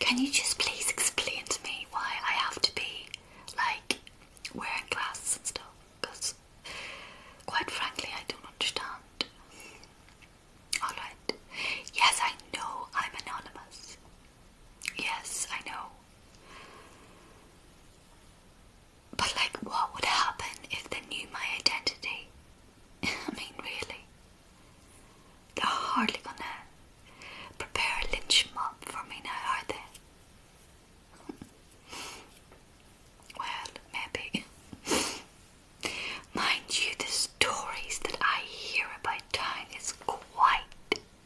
Can you just please explain to me why I have to be like wearing glasses and stuff? Because quite frankly, I don't understand. Alright. Yes, I know I'm anonymous. Yes, I know. But, like, what would happen if they knew my identity? I mean, really? They're hardly gonna prepare a lynch mob for me now, are they? well, maybe. Mind you, the stories that I hear about time is quite,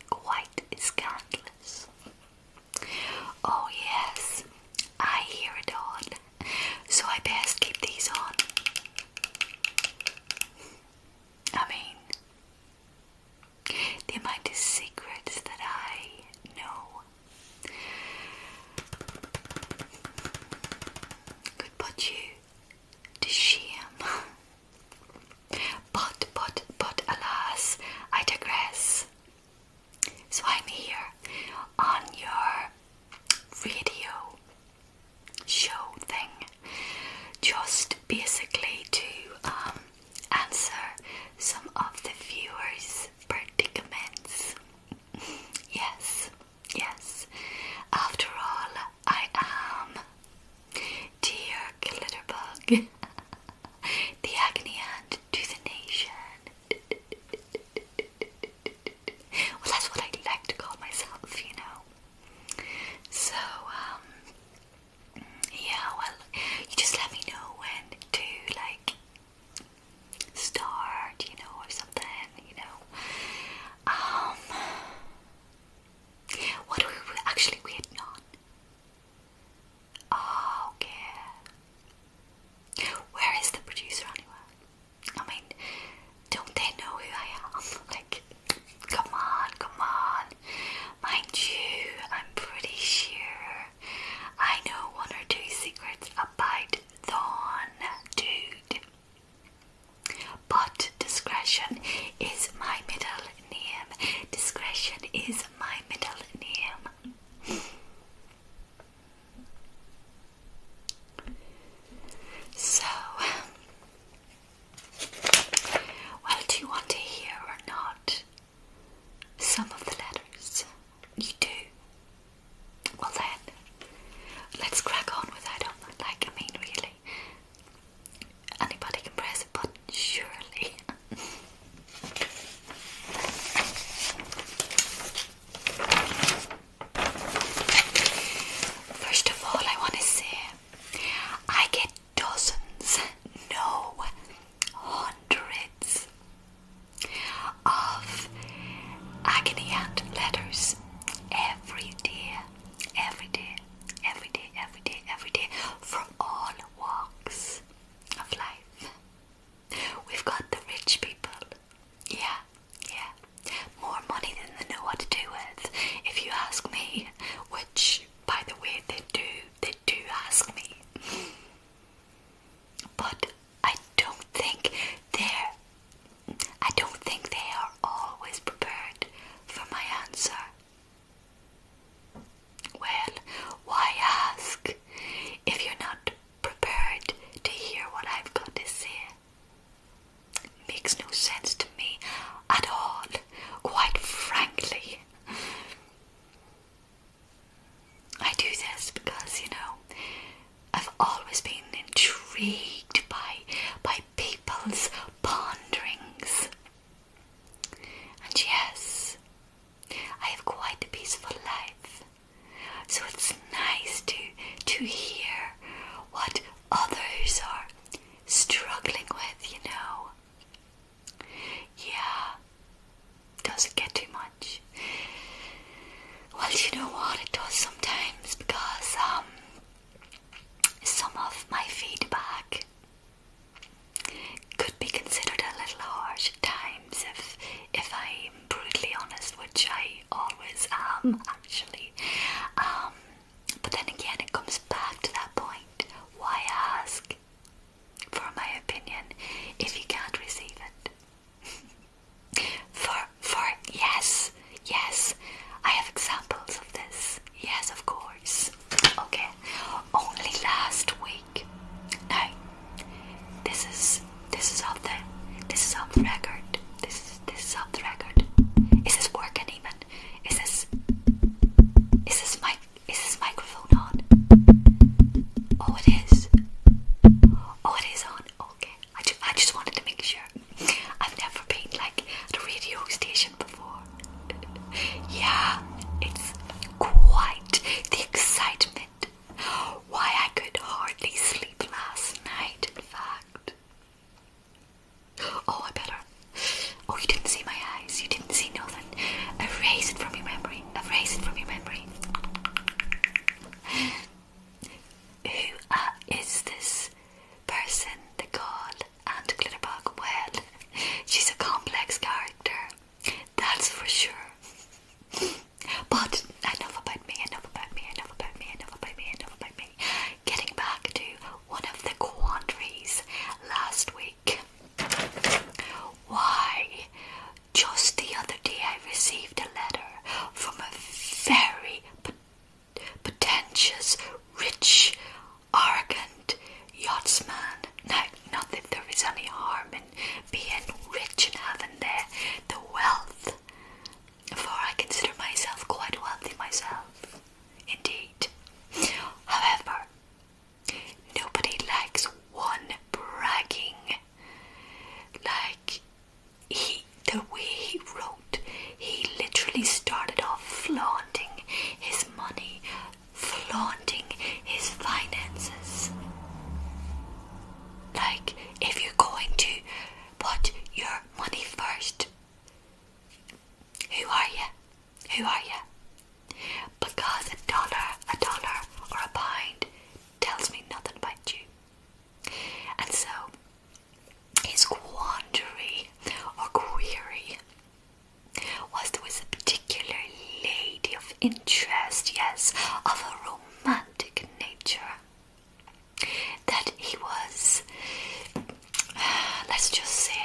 quite scandalous. Oh, yes, I hear it all, so I best keep these on. I mean, the amount of secrets that I know could you to shame. But, but, but, alas, I digress. So I'm here on your video show thing just basically to um, answer some of the viewers' predicaments. yes. Yes, after all, I am. Dear Glitterbug, the agony hand to the nation. well, that's what I like to call myself, you know. So, um, yeah, well, you just let me know when to, like, start, you know, or something, you know. Um, what were we actually Vietnam? Oh, okay. Where is the producer anyway? I mean, don't they know who I am? Like, come on, come on. Mind you, I'm pretty sure I know one or two secrets about Thon, dude. But discretion is my middle name. Discretion is my middle name. So, well, do you want to hear or not some of the letters? You do. Well then, let's crack on with that. Like I mean, really, anybody can press a button, surely. First of all, I want to say I get dozens, no, hundreds of agony and letters every day, every day, every day, every day, every day, from all walks of life. We've got the rich people. Yeah, yeah. More money than they know what to do with, if you ask me, which, by the way, they do, they do ask me. But I don't think they're I don't think they are always prepared for my answer. Well, why ask if you're not prepared to hear what I've got to say? Makes no sense to me at all, quite frankly. I do this because, you know, I've always been intrigued by by people's ponderings. And yes, I have quite a peaceful life. So it's nice to to hear what others are struggling with, you know. Yeah. Doesn't get too much much. Well, you know what it does sometimes because um, some of my feedback could be considered a little harsh at times if if I'm brutally honest, which I always am hmm. actually. Um, but then again, it comes back to that point: why ask for my opinion if you can't receive it? for for yes, yes, I have examples of this. Yes, of course. Okay. Only last week. Now this is this is off the this is off the record. This is this is off the record. Is this working even? Is this is this mic is this microphone on? Oh it is. Oh it is on. Okay. I, just wanted to make sure. I've never been like at a radio station before. yeah, it's quite the excitement. Why I could hardly sleep last night, in fact. Oh, I better. Oh, you didn't see my eyes. You didn't see nothing. Erase it from your memory. Erase it from your memory. Who uh, is this person, the girl, and Glitterbug? Well, she's a complex character, that's for sure. But enough about me, enough about me, enough about me, enough about me, enough about me. Getting back to one of the quandaries last week. Why just the other day, I received a letter from a very pretentious, rich, arrogant yachtsman. Now, not that there is any harm in being rich and having there the wealth, for I consider myself quite wealthy myself, indeed. However, nobody likes one bragging. Like, he, the way he wrote, he literally started off flaunting his money, flaunting his finances. Like, if you're going to put your money first, who are you? Who are you? Because a dollar, a dollar, or a pound tells me nothing about you. And so his quandary or query was there was a particular lady of interest, yes, of a romantic nature, that he was, let's just say,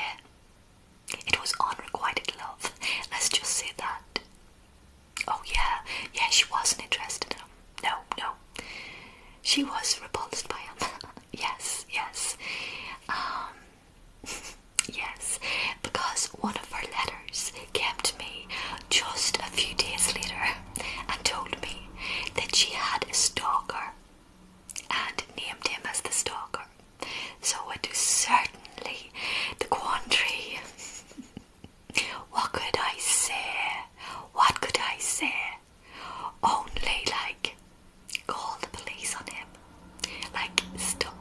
it was unrequited love, let's just say that. Oh, yeah, yeah, she wasn't interested in him. No, no. She was repulsed by him. yes, yes. Um, yes, because one of her letters kept me just a few days later and told me that she had a stalker and named him as the stalker. So it was certainly the quandary What could I say? What could I say? Only like call the police on him. Like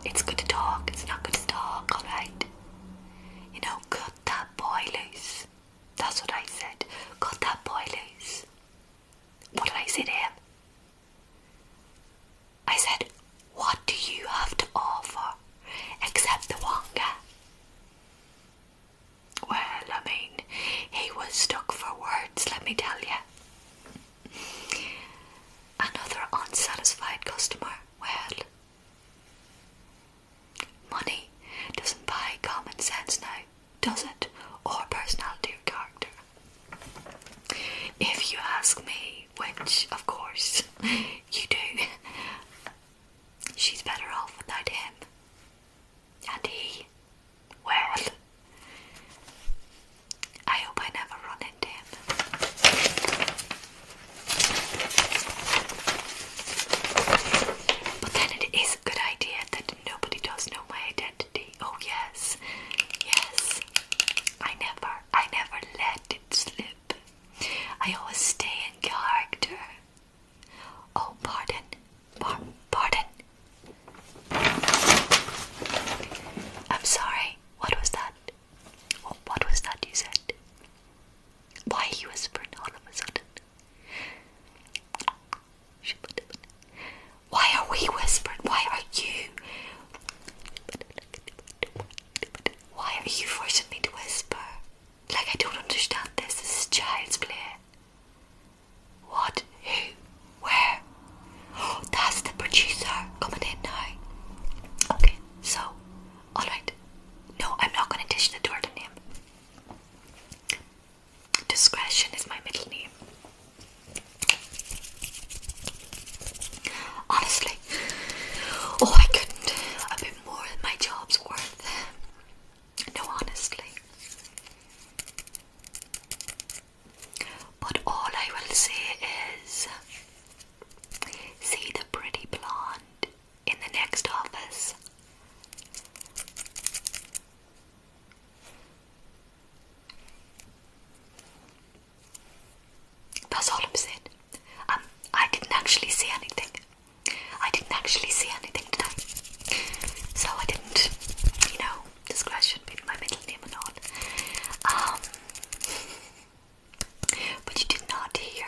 It's good to talk. It's not good to talk. All right. You know, cut that boy loose. That's what I said. Cut that boy loose. What did I say to him? I said, what do you have to offer except the Wonga? Well, I mean, he was stuck for words, let me tell you. Another unsatisfied customer. Well, money doesn't buy common sense now, does it? Or personality or character. If you ask me, which of course you do, She's better off without him. And he, well, I hope I never run into him. But then it is a good idea that nobody does know my identity. Oh, yes, yes. I never, I never let it slip. I always stay in character. Oh, pardon. Par pardon. I'm sorry. What was that? what was that you said? Why he whispered all of a sudden? Why are we whispering? Why are you? Why are you forcing me to whisper? Like, I don't understand this. This is child's play. What? Who? Where? Oh, that's the producer coming in now. Okay, so, alright. No, I'm not going to dish the Jordan name. Discretion is my middle name. Honestly, oh, I couldn't. A bit more than my job's worth. No, honestly. But all I will say is see the pretty blonde in the next office. That's all I'm saying. Um, I didn't actually see anything. I didn't actually see anything today. So I didn't, you know, discretion being my middle name and all. Um, but you did not hear,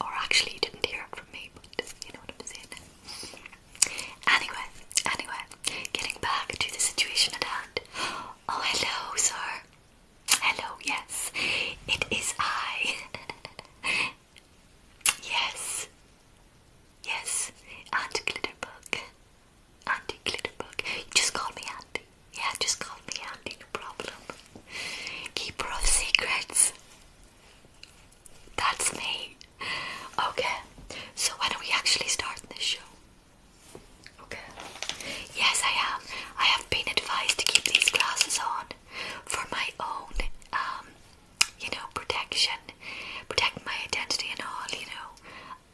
or actually didn't hear from me, but you know what I'm saying. Anyway, anyway, getting back to the situation at hand. Oh, hello, sir. Hello, yes, it is I. yes, yes, Auntie Glitterbug. Andy Glitterbug. You just call me Andy. Yeah, just call me Andy. no problem. Keeper of secrets. That's me. Okay, so why don't we actually start this show? Okay. Yes, I have. I have been advised to keep these glasses on for my own, um, you know, protection, protect my identity and all. You know,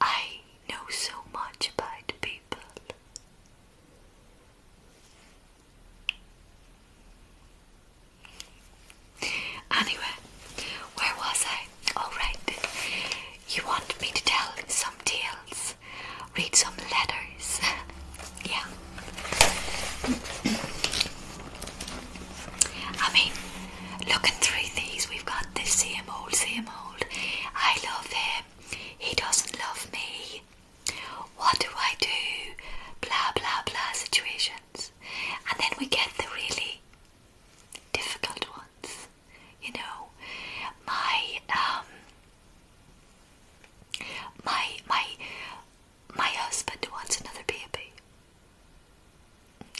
I know so much about people. Anyway, where was I? All right. You want me to tell some tales? read some letters. yeah. I mean, looking through these, we've got this same old, same old. I love him. He doesn't love me. What do I do? Blah, blah, blah situations. And then we get the really difficult ones. You know, my um, my my my husband wants another baby.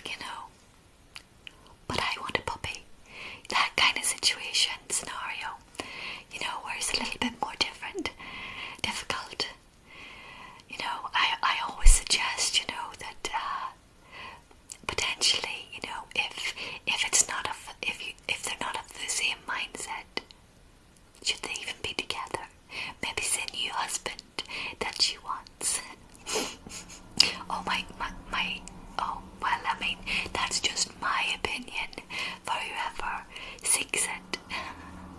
You know. But I want a puppy. That kind of situation scenario. You know, where it's a little bit more different, difficult. You know, I I always suggest, you know, that uh, potentially, you know, if if it's not a if you if they're not of the same mindset, should they even be together? Maybe it's a new husband that she wants. oh my, my, my, oh, well, I mean, that's just my opinion. For whoever seeks it.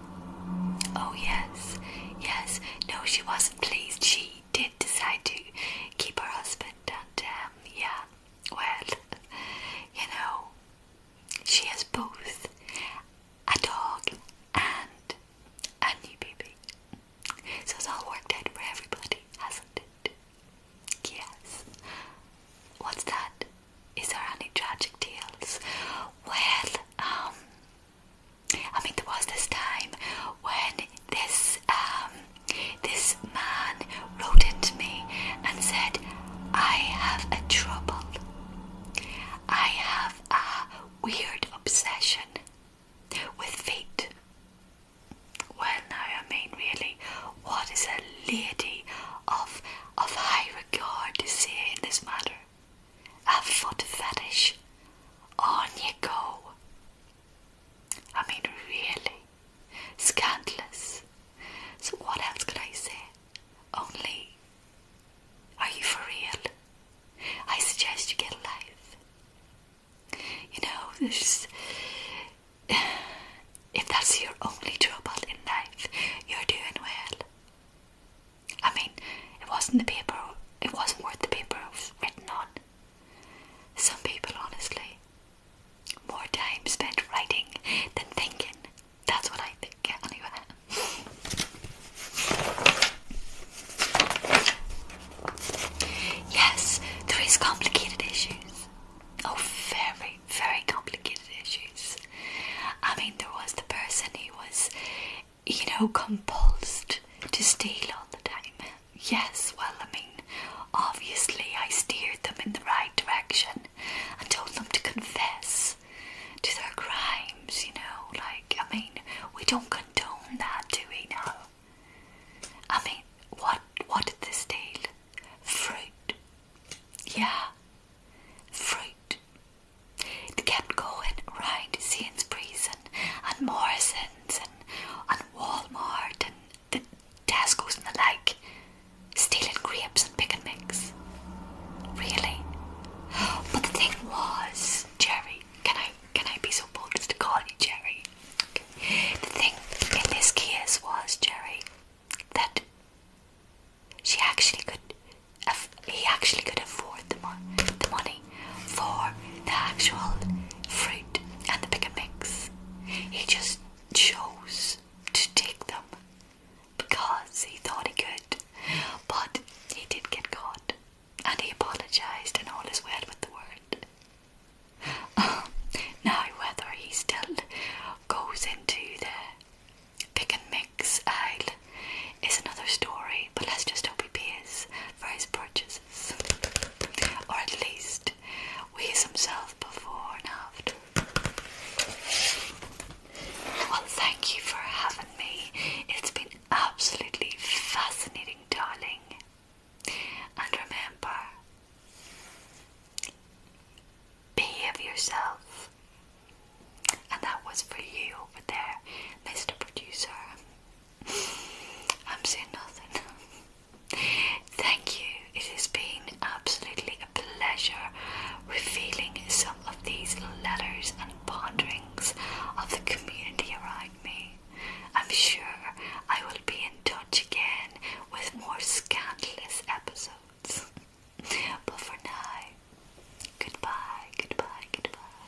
oh, yes, yes. No, she wasn't pleased. She did decide to keep her husband, and um, yeah. Well, you know, she has both a dog and a new baby. So it's all worked out for everybody, hasn't it? Yes. What's that? Is there any tragic tales? Well, um, I mean, there was this time when this um, this man rode to me and said, I have a trouble. I have a weird obsession with feet. Well, now I mean, really, what is a lady of of high regard to say in this matter? A foot fetish. On you go. I mean, really. Scandalous. So, what else could I say? Only, are you for real? I suggest you get a life. You know, there's. If that's your only trouble in life, you're doing well. I mean, it wasn't the paper, it wasn't worth the paper it was written on. Some people, honestly, more time spent writing than thinking. That's what I think, anyway. yes, there is complicated issues. Oh, very, very complicated issues. I mean, there was the person who was, you know, compulsed to steal all the time. Yes, well, I mean, obviously I steered them in the right direction and told them to confess to their crimes, you know. Like, I mean, we don't condone that, do we now? I mean, what, what did they steal? Fruit. Yeah, fruit. They kept going round Sainsbury's and, and Morrison's and, and Walmart and the task and the like stealing grapes and pick and mix. Really? But the thing was, Jerry, can I can I be so bold as to call you Jerry? The thing in this case was, Jerry, that she actually could he actually could afford the money for the actual fruit and the pick and mix. He just chose to take them because he thought he could, but he did get caught and he apologized, and all is well with the world. now, whether he still goes into the pick and mix aisle is another story, but let's just hope he pays for his purchases, or at least We's weighs himself before and after. Well, thank you for having me. It's been absolutely fascinating, darling. And remember, behave yourself. And that was for you over there, Mr. Producer. I'm saying nothing. Thank you. It has been absolutely a pleasure revealing some of these letters and ponderings of the community around me. I'm sure I will be in touch again with more scandalous episodes. But for now, goodbye, goodbye, goodbye.